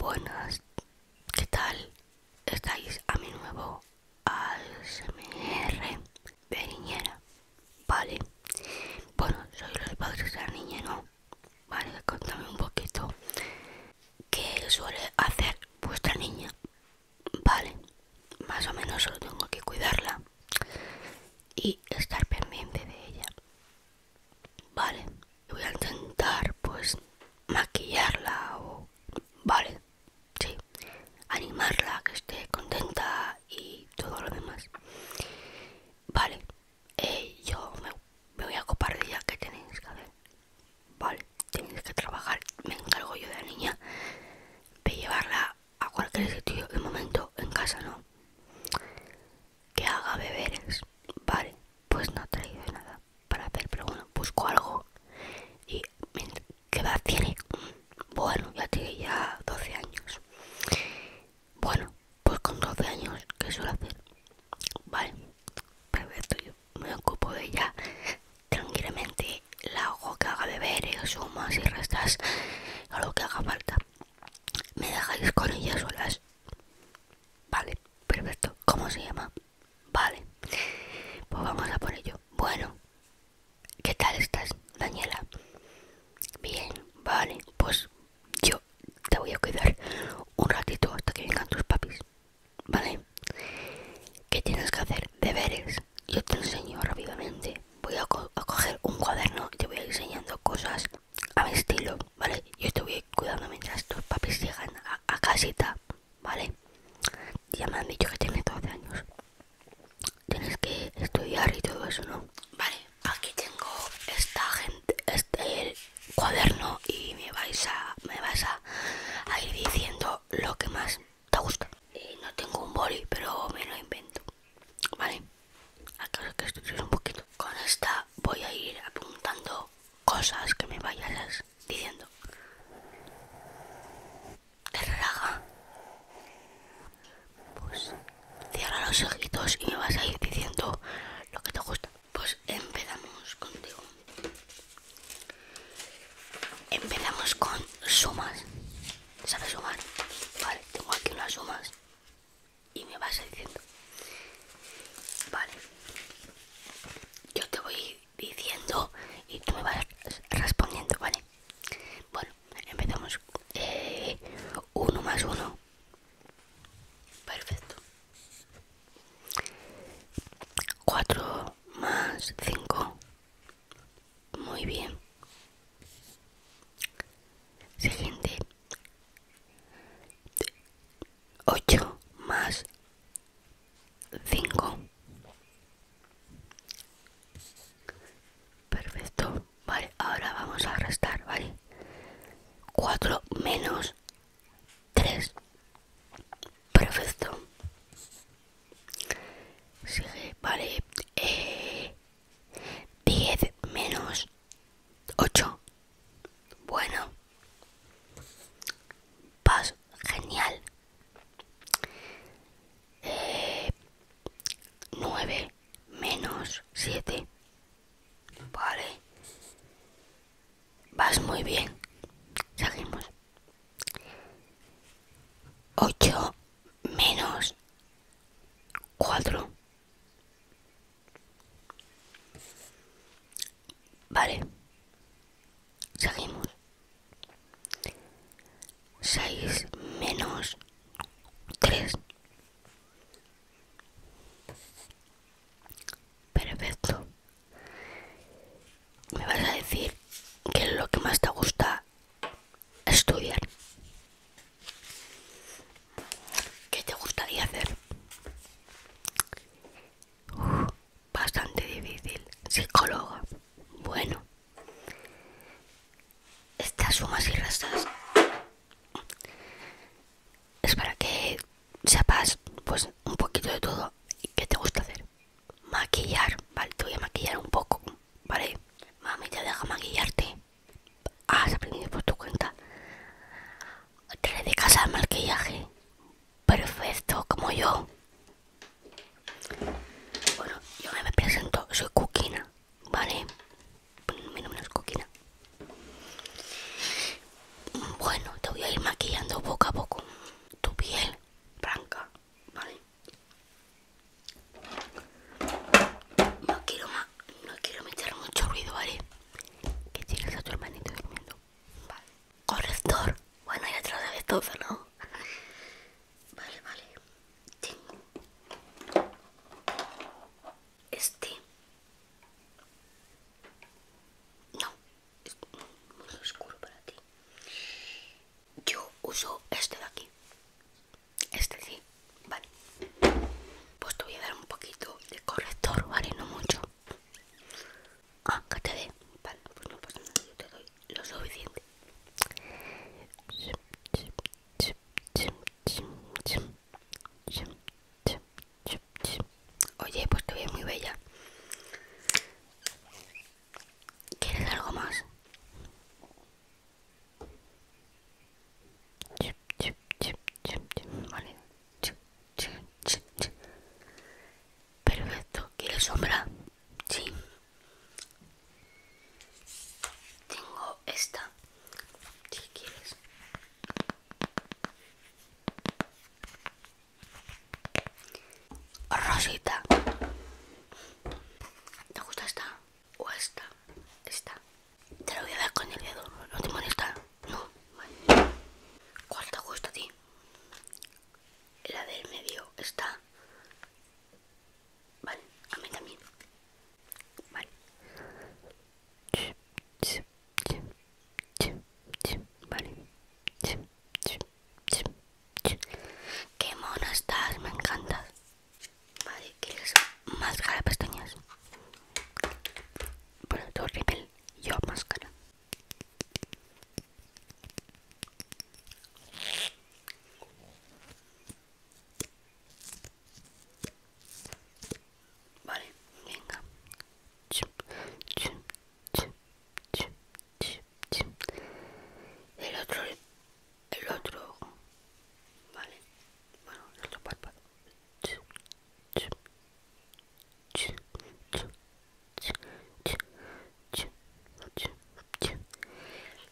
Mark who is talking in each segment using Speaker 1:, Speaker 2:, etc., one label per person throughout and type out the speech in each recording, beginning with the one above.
Speaker 1: Buenas, ¿qué tal? Estáis a mi nuevo ASMR de niñera, ¿vale? Bueno, soy los padres de la niña, ¿no? Vale, contame un poquito qué suele hacer vuestra niña, ¿vale? Más o menos solo tengo que cuidarla y estar pendiente de ella, Vale, voy a intentar pues maquillarla o... Vale, sí, animarla, que esté contenta y todo lo demás. Vale, eh, yo me, voy a ocupar de ella, que tenéis que hacer? Vale, tenéis que trabajar, me encargo yo de la niña, de llevarla a cualquier sitio de momento en casa, ¿no? que haga beberes. Vale, pues no ha traído nada para hacer, pero bueno, busco algo. Y ¿qué edad tiene? Bueno, ya tiene ya 12 años. Bueno, pues con 12 años, ¿qué suelo hacer? Vale, perfecto, yo me ocupo de ella tranquilamente. La hago que haga beberes, eh, sumas y restas, a lo que haga falta me dejáis con ellas solas. Vale, perfecto. ¿Cómo se llama? Vale, pues vamos a por ello. Bueno, ¿qué tal estás, Daniela? Bien, vale, pues yo te voy a cuidar un ratito hasta que vengan tus papis. Vale, ¿qué tienes que hacer? Deberes. Yo te enseño rápidamente. Voy a, a coger un cuaderno y te voy a ir enseñando cosas a mi estilo, ¿vale? Yo estoy cuidando mientras tus papis llegan a, casita, ¿vale? Ya me han dicho que tienes 12 años. Tienes que estudiar y todo eso, ¿no? Vale, aquí tengo esta gente, este el cuaderno y me vais a me vas a, ir diciendo lo que más te gusta. y eh, no tengo un boli, pero me lo invento. Vale acá que estoy un poquito. Con esta voy a ir apuntando cosas que me vayas diciendo. Te relaja. Pues cierra los ojitos y me vas a ir diciendo lo que te gusta. Pues empezamos contigo. Empezamos con sumas. ¿Sabes sumar? Vale, tengo aquí unas sumas y me vas diciendo. Vale. Yo te voy diciendo y tú me vas respondiendo, ¿vale? Bueno, empezamos. Eh, uno más uno. Perfecto. Cuatro más cinco. Muy bien. Siguiente. 8 más 5. Perfecto. Vale, ahora vamos a restar, ¿vale? 4 menos 3. Perfecto. Sigue, vale. Eh, 10 menos 8. Bueno. vas genial. 9 eh, menos 7. Vale. Vas muy bien. Seguimos. 8 menos 4 vale seguimos 6 menos 3 perfecto me vas a decir que es lo que más te gusta estudiar. ¿Qué te gustaría hacer? bastante difícil. Psicóloga. Bueno. Estas sumas y restas es para que sepas pues un poquito de todo y qué te gusta hacer maquillar, vale, te voy a maquillar un poco, vale, mami te deja maquillarte, has aprendido por tu cuenta, de casa el maquillaje, perfecto, como yo. Bueno, yo me presento, soy Coquina, vale, mi nombre es Coquina. Bueno, te voy a ir maquillando poco a poco tu piel blanca, ¿vale? No quiero más, no quiero meter mucho ruido, ¿vale? Que tienes a tu hermanito durmiendo. Vale. Corrector. Bueno, te lo de todo, ¿no? Vale, vale. este. No, es muy oscuro para ti. Yo uso este de aquí. Este sí, vale. Pues te voy a dar un poquito de corrector, vale, no mucho. Ah, te dé. Vale, pues no pasa nada, yo te doy lo suficiente. Oye, pues te ves muy bella. ¿Quieres algo más? Perfecto. ¿Quieres sombra? Sí. Tengo esta. quieres. Rosita. ¿Te gusta esta? ¿O esta? Esta. Te la voy a dar con el dedo. ¿No te molesta? No. Vale. ¿Cuál te gusta a ti? La del medio. está. Vale. A mí también. Vale. Vale. Qué mono estás, me encantas. Vale, ¿quieres máscara de pestañas? Bueno, tú rebel, yo máscara. Vale, venga. chup el otro, el otro, vale, bueno, el otro párpado.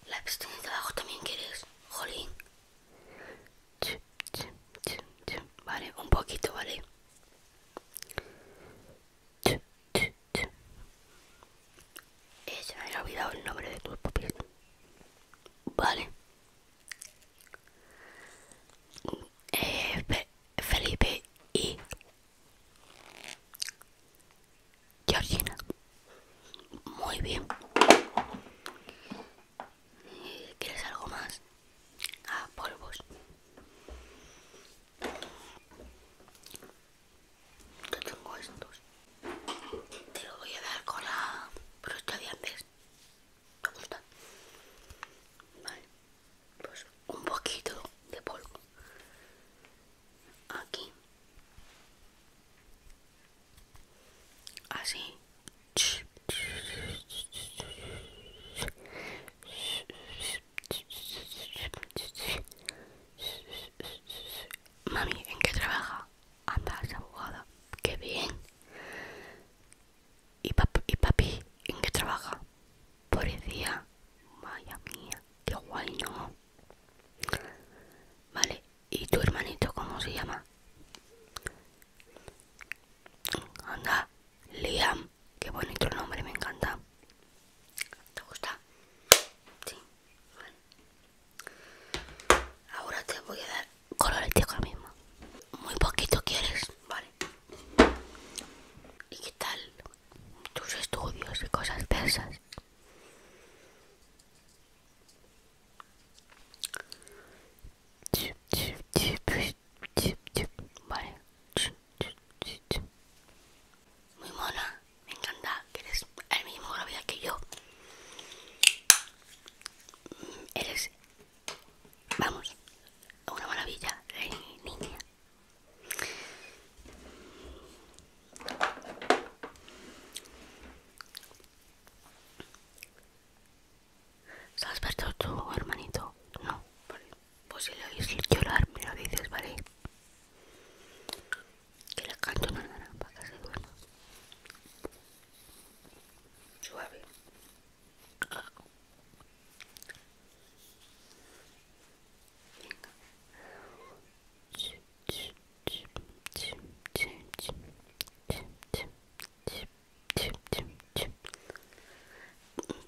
Speaker 1: La pistola de abajo también quieres, jolín. Vale, un poquito, vale. Ella eh, me había olvidado el nombre de tu papi. Vale. Eh, Felipe y Georgina. Muy bien. Eh, ¿Quieres algo más? a polvos yo tengo estos te lo voy a dar con la brocha de antes Me gusta? vale pues un poquito de polvo aquí así Mami, ¿en qué trabaja? Anda, esa abogada. ¡Qué bien! ¿Y, ¿Y papi? ¿En qué trabaja? Policía. Vaya mía, qué guay, ¿no? Vale, ¿y tu hermanito cómo se llama? Anda, Liam. Qué bonito el nombre, me encanta. ¿Te gusta? Sí. Ahora te voy a dar color el tío mismo. Muy poquito quieres, vale. ¿Y qué tal tus estudios y cosas de Vale. Muy mona, me encanta que eres el mismo que yo. Mm, eres, vamos, una maravilla, eh, niña. ¿Se ha despertado tu hermanito? No, vale. Pues si le oís llorar, me lo dices, ¿vale? Que le canto una hermana para que se duerma. Suave. Venga.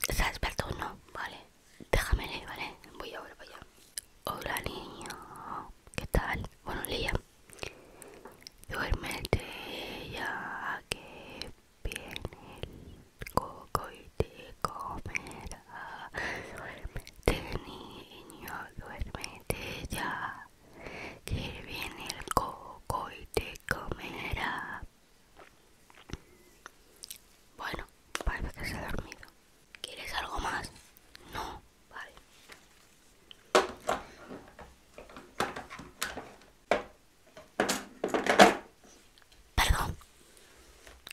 Speaker 1: Se ha despertado, ¿no? Vale, leer, ¿vale? Voy ahora para allá. Hola, niño. ¿Qué tal? Bueno, días. Duérmete ya que viene el coco y te comerá. Duérmete, niño. Duérmete ya que viene el coco y te comerá. Bueno, parece que se ha dormido. ¿Quieres algo más? No, vale. Perdón,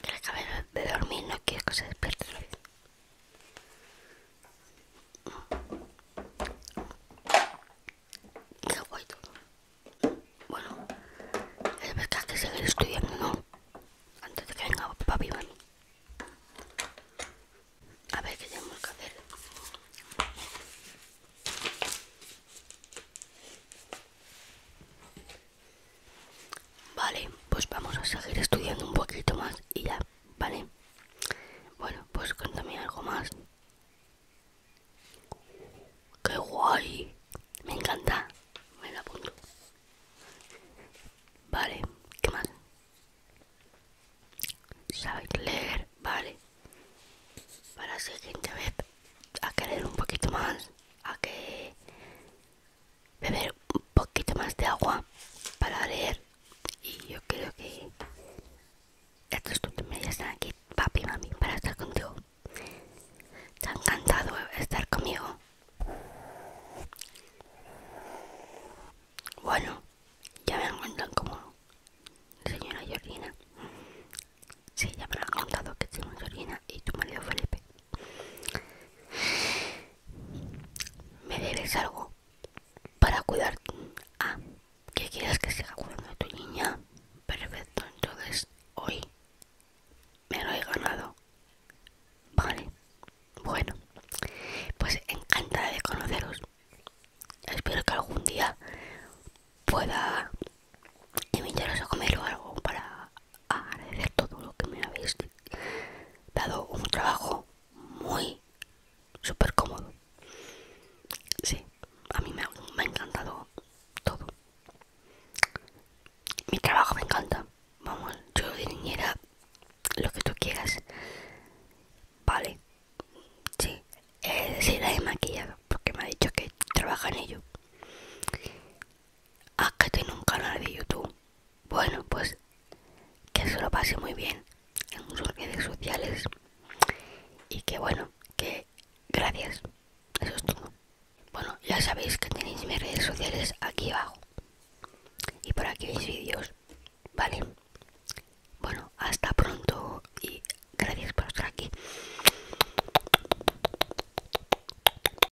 Speaker 1: que le acabé de dormir, no quieres que se despierte qué guay Bueno, es verdad que seguir estudiando, ¿no? Antes de que venga papi mami. A ver qué tenemos que hacer. Vale, pues vamos a seguir estudiando un poquito más y ya. Vale. Bueno, pues cuéntame algo más. ¡Qué guay! Me encanta. Me la apunto. Vale, ¿qué más? ¿Sabes leer? Vale. Para la siguiente vez, a querer un poquito más, a que beber un poquito más de agua para leer y yo creo que estos dos ya están aquí papi y mami para estar contigo te ha encantado estar conmigo bueno ya me han contado como señora Georgina sí ya me han contado que tengo Georgina y tu marido Felipe me debes algo para cuidar. Ah, que quieras que siga cuidando a tu niña? Perfecto, entonces hoy me lo he ganado. Vale, bueno, pues encantada de conoceros. Espero que algún día pueda invitaros a comer algo para agradecer todo lo que me habéis dado un trabajo muy súper cómodo. Sí, a mí me ha, encantado todo. Mi trabajo me encanta. Vamos, yo de niñera, lo que tú quieras. Vale, sí, la he maquillado porque me ha dicho que trabaja en ello. haz que tengo un canal de YouTube. Bueno, pues que se lo pase muy bien en sus redes sociales y que bueno, que gracias. Eso es todo. Bueno, ya sabéis que tenéis mis redes sociales aquí abajo. Y por aquí mis vídeos. Vale. Bueno, hasta pronto y gracias por estar aquí.